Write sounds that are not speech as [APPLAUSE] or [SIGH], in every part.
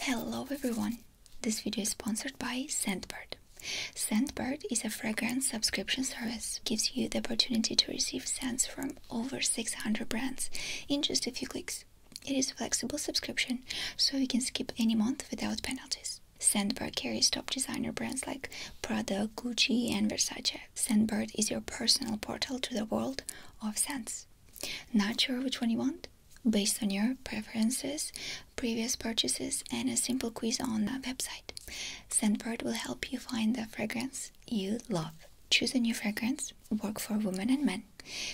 Hello everyone! This video is sponsored by Sandbird. Sandbird is a fragrance subscription service. Gives you the opportunity to receive scents from over 600 brands in just a few clicks. It is a flexible subscription, so you can skip any month without penalties. Sandbird carries top designer brands like Prada, Gucci, and Versace. Sandbird is your personal portal to the world of scents. Not sure which one you want? based on your preferences, previous purchases, and a simple quiz on the website. Scentbird will help you find the fragrance you love. Choose a new fragrance, work for women and men,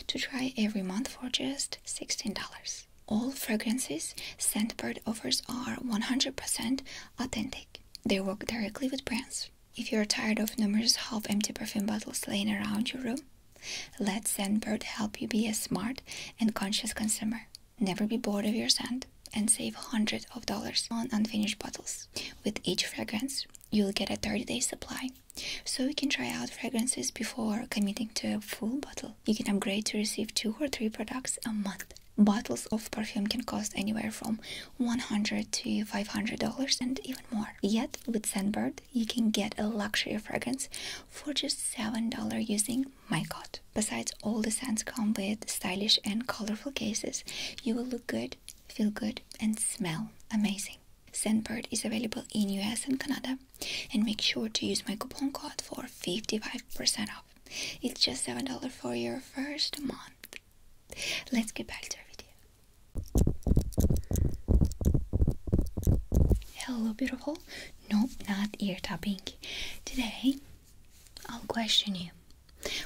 to try every month for just $16. All fragrances Scentbird offers are 100% authentic. They work directly with brands. If you're tired of numerous half empty perfume bottles laying around your room, let Sandbird help you be a smart and conscious consumer. Never be bored of your scent and save hundreds of dollars on unfinished bottles. With each fragrance, you'll get a 30 day supply. So you can try out fragrances before committing to a full bottle. You can upgrade to receive two or three products a month. Bottles of perfume can cost anywhere from $100 to $500 and even more. Yet, with Sandbird, you can get a luxury fragrance for just $7 using my code. Besides, all the scents come with stylish and colorful cases. You will look good, feel good, and smell amazing. Scentbird is available in US and Canada, and make sure to use my coupon code for 55% off. It's just $7 for your first month. Let's get back to our video. Hello, beautiful. Nope, not ear tapping. Today, I'll question you,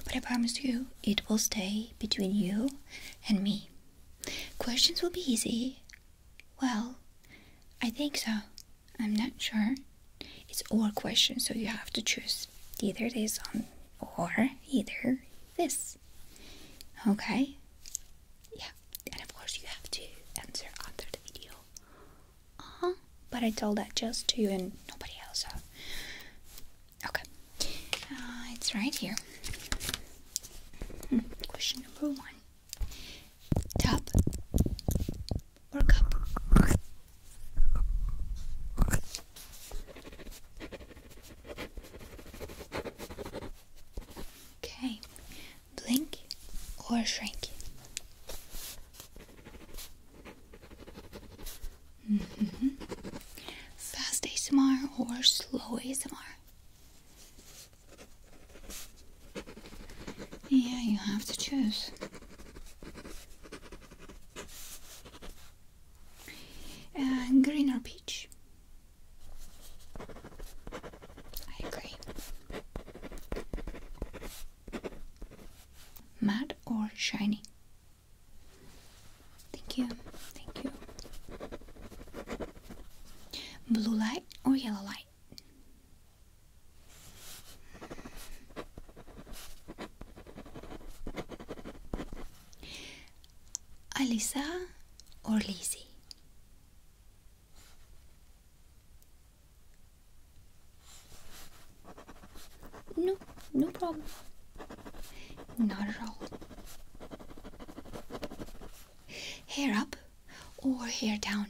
but I promise you it will stay between you and me. Questions will be easy. Well, I think so. I'm not sure. It's all questions, so you have to choose either this or either this. Okay? Yeah and of course you have to answer under the video. Uh huh. But I told that just to you and nobody else. Okay, uh, it's right here. Hmm, question number one: Tub or cup? Okay, blink or shrink. Mm -hmm. Fast ASMR or slow ASMR? Yeah, you have to choose. Uh, green or peach? I agree. Matte or shiny? Thank you, thank you. Blue light or yellow light? Alisa or Lizzie? No, no problem. Not at all. Hair up or hair down?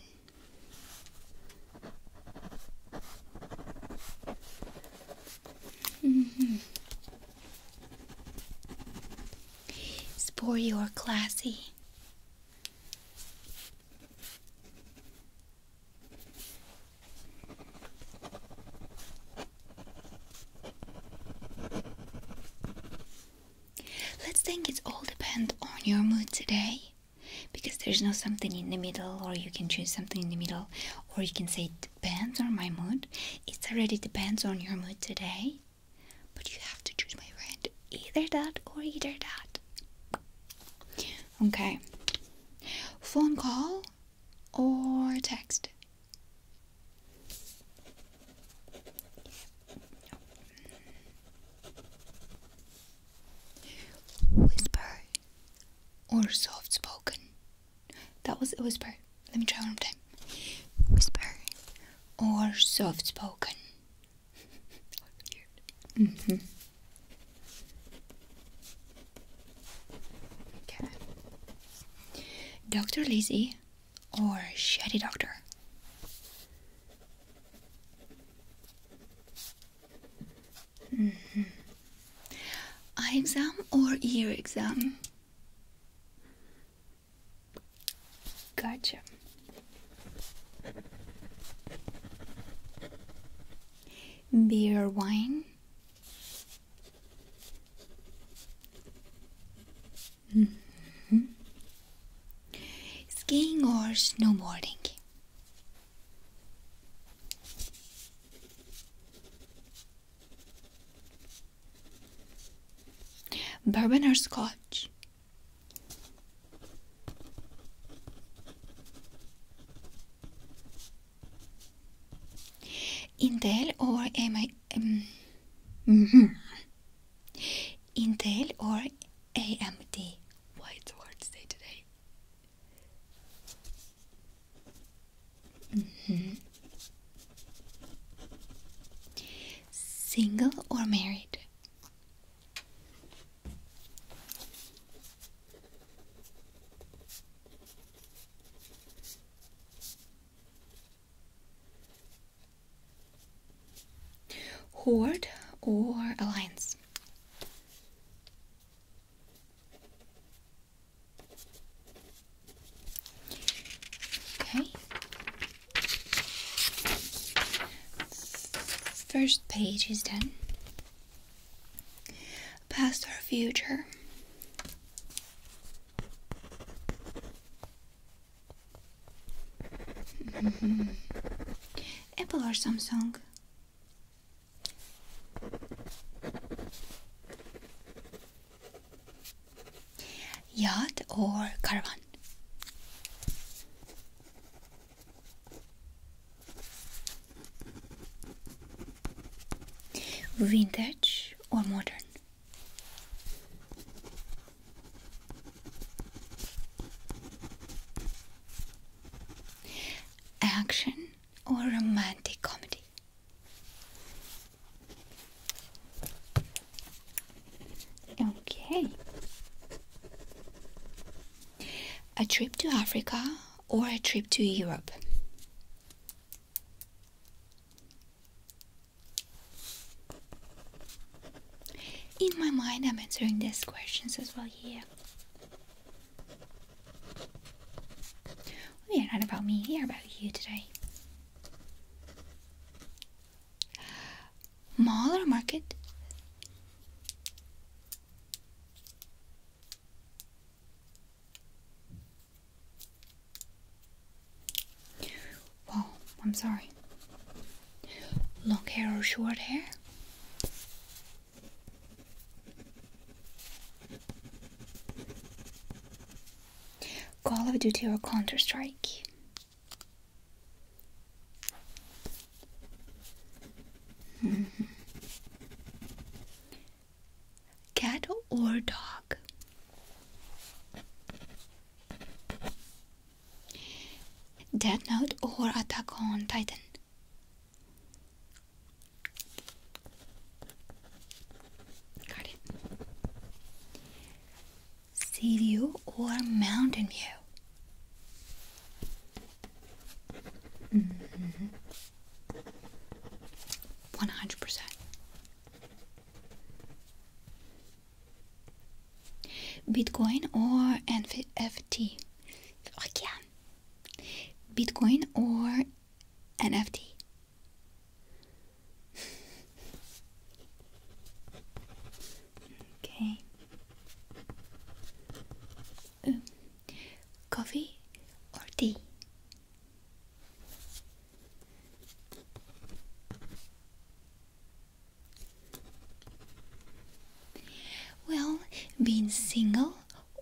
-hmm. Spore, you are classy. Let's think it all depends on your mood today because there's no something in the middle or you can choose something in the middle or you can say it depends on my mood. It already depends on your mood today. But you have to choose, my friend, either that or either that. Okay. Phone call or text? Whisper or soft spoken? That was a whisper. Let me try one more time. Whisper or soft spoken. Mm-hmm. Dr. Lizzie or Shady Doctor? Mm-hmm. Eye exam or ear exam? Gotcha. Beer, wine. Mm-hmm. Skiing or snowboarding? Bourbon or scotch? [LAUGHS] Intel or A M um, mm Intel or AMD. Why it's to say today. Mm-hmm. Single or married? Horde or alliance? Okay. First page is done. Past or future. [LAUGHS] Apple or Samsung? Yacht or caravan? Vintage or modern? Action or romantic comedy? Okay. A trip to Africa or a trip to Europe? In my mind, I'm answering these questions as well here. We are not about me here, about you today mall or market? Wow, I'm sorry. Long hair or short hair? Call of Duty or Counter Strike? Cat or dog? Death Note or Attack on Titan? Got it sea view or mountain view? Mm-hmm. One hundred percent. Bitcoin or NFT? Again. Bitcoin or NFT? Okay. Um, coffee or tea? Well, being single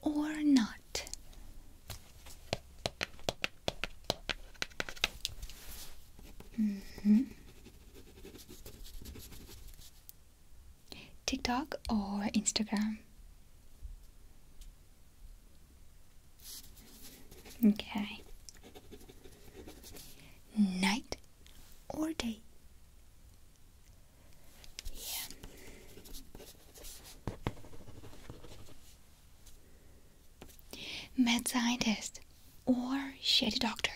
or not? -hmm. TikTok or Instagram? Okay. Night or day? Yeah. Med scientist, or shady doctor.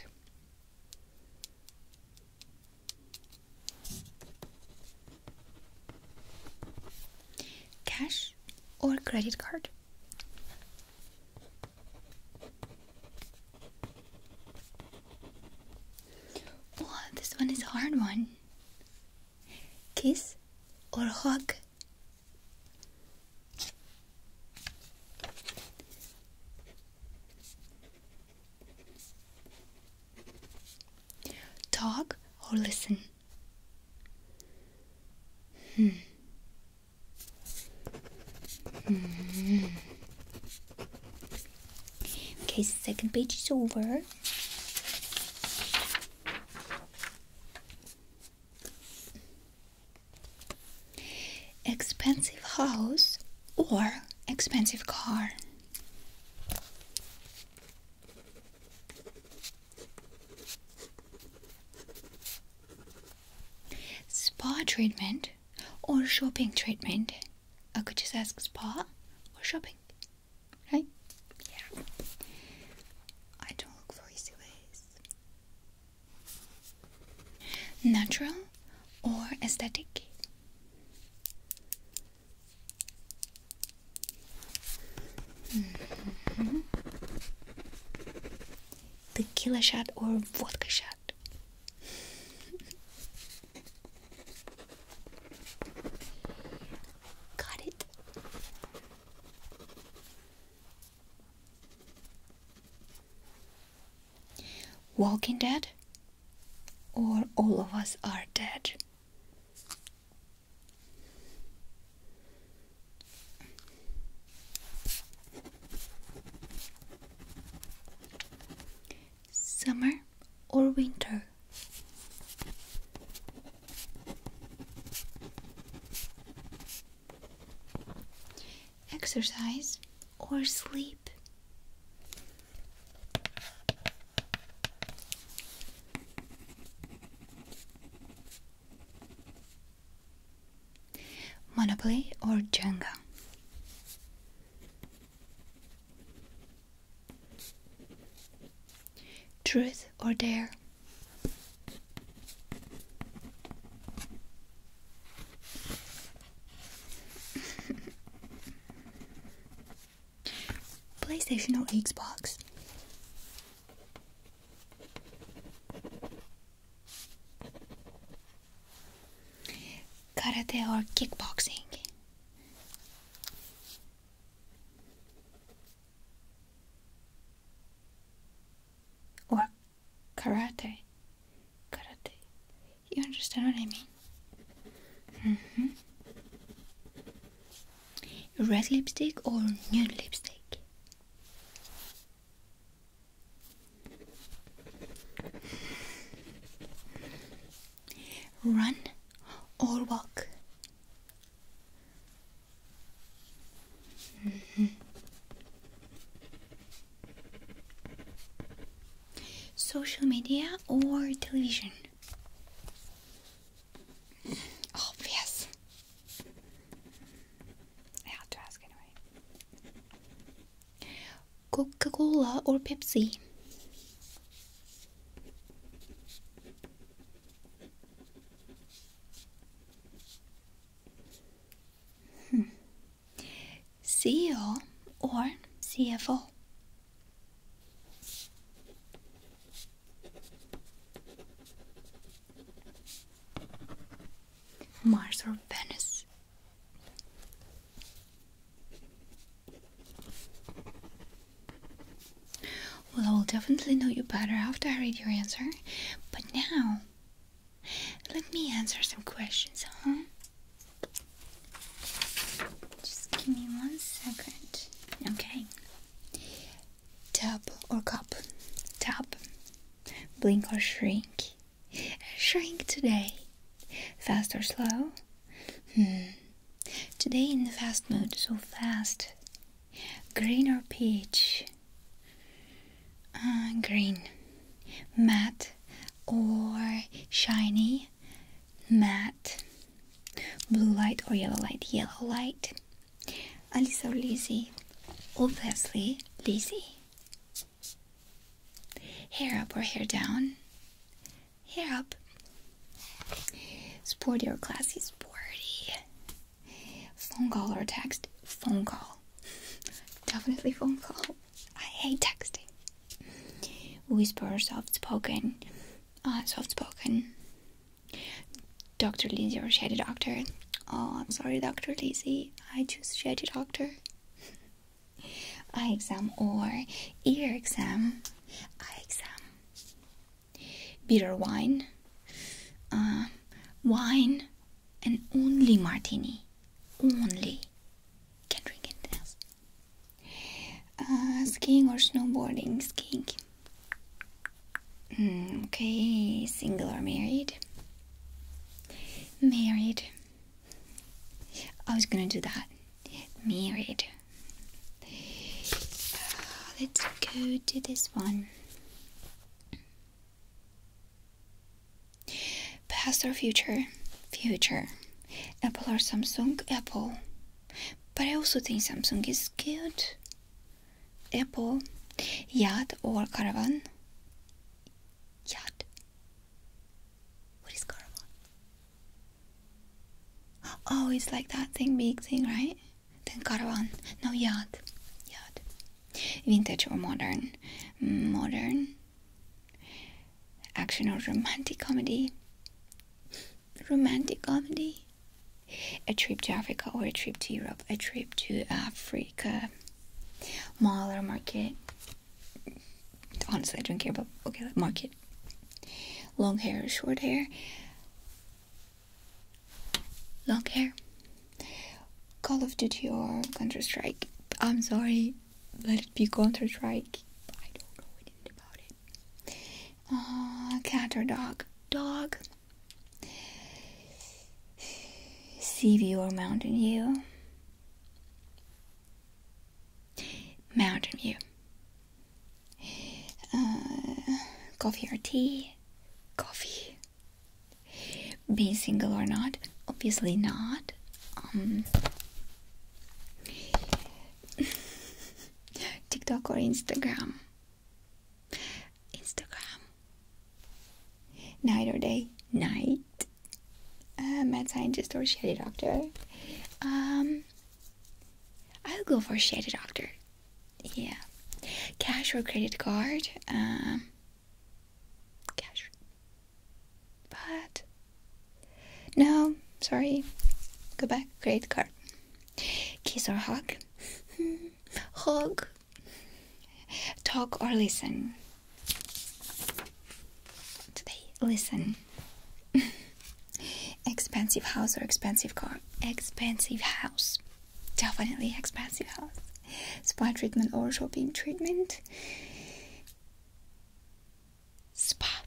Cash or credit card? Oh, this one is a hard one. Kiss or hug? Talk or listen? Hmm. Hmm. Okay, second page is over. Expensive house or expensive car. Spa treatment or shopping treatment. I could just ask spa or shopping. Right? Yeah. I don't look for easy ways. Natural or aesthetic? Mm-hmm. The killer shot or vodka shot? Got it. Walking Dead or All of Us Are Dead? Summer or winter? exercise, or sleep. Monopoly or Jenga? Truth or Dare? [LAUGHS] PlayStation or Xbox? Karate or kickboxing? Or karate. Karate. You understand what I mean? -hmm. Red lipstick or nude lipstick? Run or walk? -hmm. Social media or television? Obvious. Oh, I had to ask anyway. Coca Cola or Pepsi? Hmm. CEO or CFO. Mars or Venus. Well, I will definitely know you better after I read your answer, but now let me answer some questions, huh? Just give me one second. Okay. Tap or cup? Tap. Blink or shrink? Shrink today. Fast or slow? Hmm. Today in the fast mode, so fast. Green or peach? Uh, green. Mat or shiny, matte, blue light or yellow light, yellow light. Alisa or Lizzie? Obviously, Lizzie. Hair up or hair down? Hair up. Sporty or classy? Sporty. Phone call or text? Phone call. [LAUGHS] Definitely phone call. I hate texting. Whisper, soft spoken, uh, soft spoken. Dr. Lindsay or Shady Doctor. Oh, I'm sorry, Dr. Lizzie. I choose Shady Doctor. Eye exam or ear exam. Eye exam. Bitter wine. Uh, wine and only martini only can drink it. Uh, skiing or snowboarding skiing hmm, okay single or married married i was gonna do that married uh, let's go to this one Past or future? Future. Apple or Samsung? Apple. But I also think Samsung is cute. Apple. Yacht or caravan? Yacht. What is caravan? Oh, it's like that thing, big thing, right? Then caravan. No, yacht. Yacht. Vintage or modern? Modern. Action or romantic comedy? Romantic comedy? A trip to Africa or a trip to Europe? A trip to Africa? Mall or market? Honestly, I don't care about. Okay, market. Long hair or short hair? Long hair. Call of Duty or Counter Strike? I'm sorry let it be counterstrike. I don't know anything about it. Uh, cat or dog? Dog. Sea view or mountain view? Mountain view. Uh, coffee or tea? Coffee being single or not obviously not um, [LAUGHS] tiktok or instagram instagram night or day night uh, mad scientist or shady doctor um i'll go for shady doctor yeah cash or credit card um cash. But no, sorry. Go back, credit card. Kiss or hug? [LAUGHS] hug. Talk or listen? Today, listen. [LAUGHS] expensive house or expensive car? Expensive house. Definitely expensive house. Spa treatment or shopping treatment? Spa.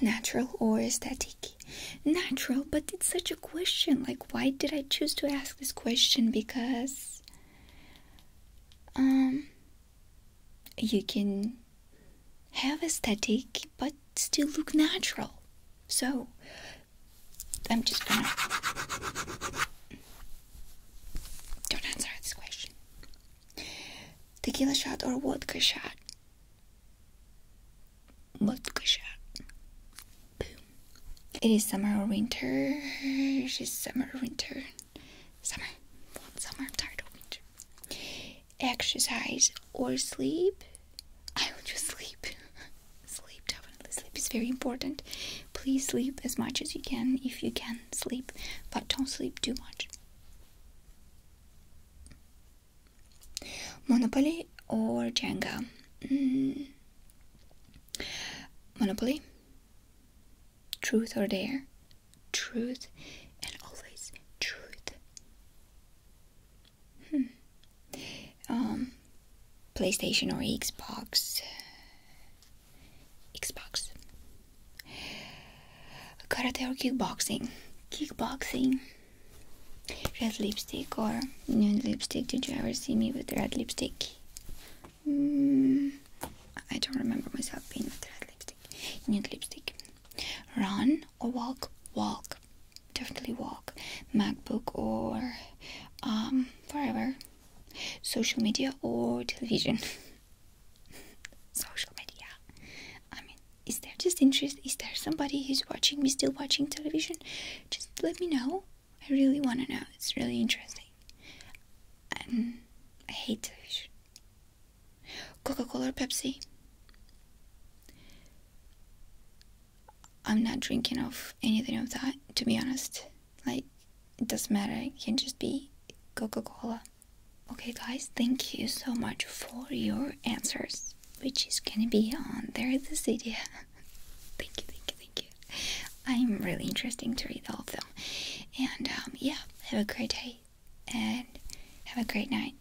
Natural or aesthetic? Natural, but it's such a question. Like, why did I choose to ask this question? Because, um, you can have aesthetic but still look natural. So, I'm just gonna don't answer this question. Tequila shot or vodka shot? Vodka shot. Boom. It is summer or winter. It is summer or winter. Summer. summer? i winter. Exercise or sleep? I will just sleep. [LAUGHS] sleep, definitely. Sleep is very important. Please sleep as much as you can if you can sleep, but don't sleep too much. Monopoly or Jenga? Hmm. Monopoly. Truth or dare? Truth and always truth. Hmm. Um, PlayStation or Xbox? Xbox. Karate or kickboxing? Kickboxing. Red lipstick or nude lipstick? Did you ever see me with red lipstick? Mm, I don't remember myself being with red lipstick. Nude lipstick. Run or walk? Walk. Definitely walk. MacBook or um, forever social media or television [LAUGHS] social media i mean is there just interest is there somebody who's watching me still watching television just let me know i really want to know it's really interesting and i hate television coca-cola or pepsi i'm not drinking of anything of that to be honest like, it doesn't matter, it can just be Coca Cola. Okay, guys, thank you so much for your answers, which is gonna be on there this video. [LAUGHS] thank you, thank you, thank you. I'm really interesting to read all of them. And um, yeah, have a great day and have a great night.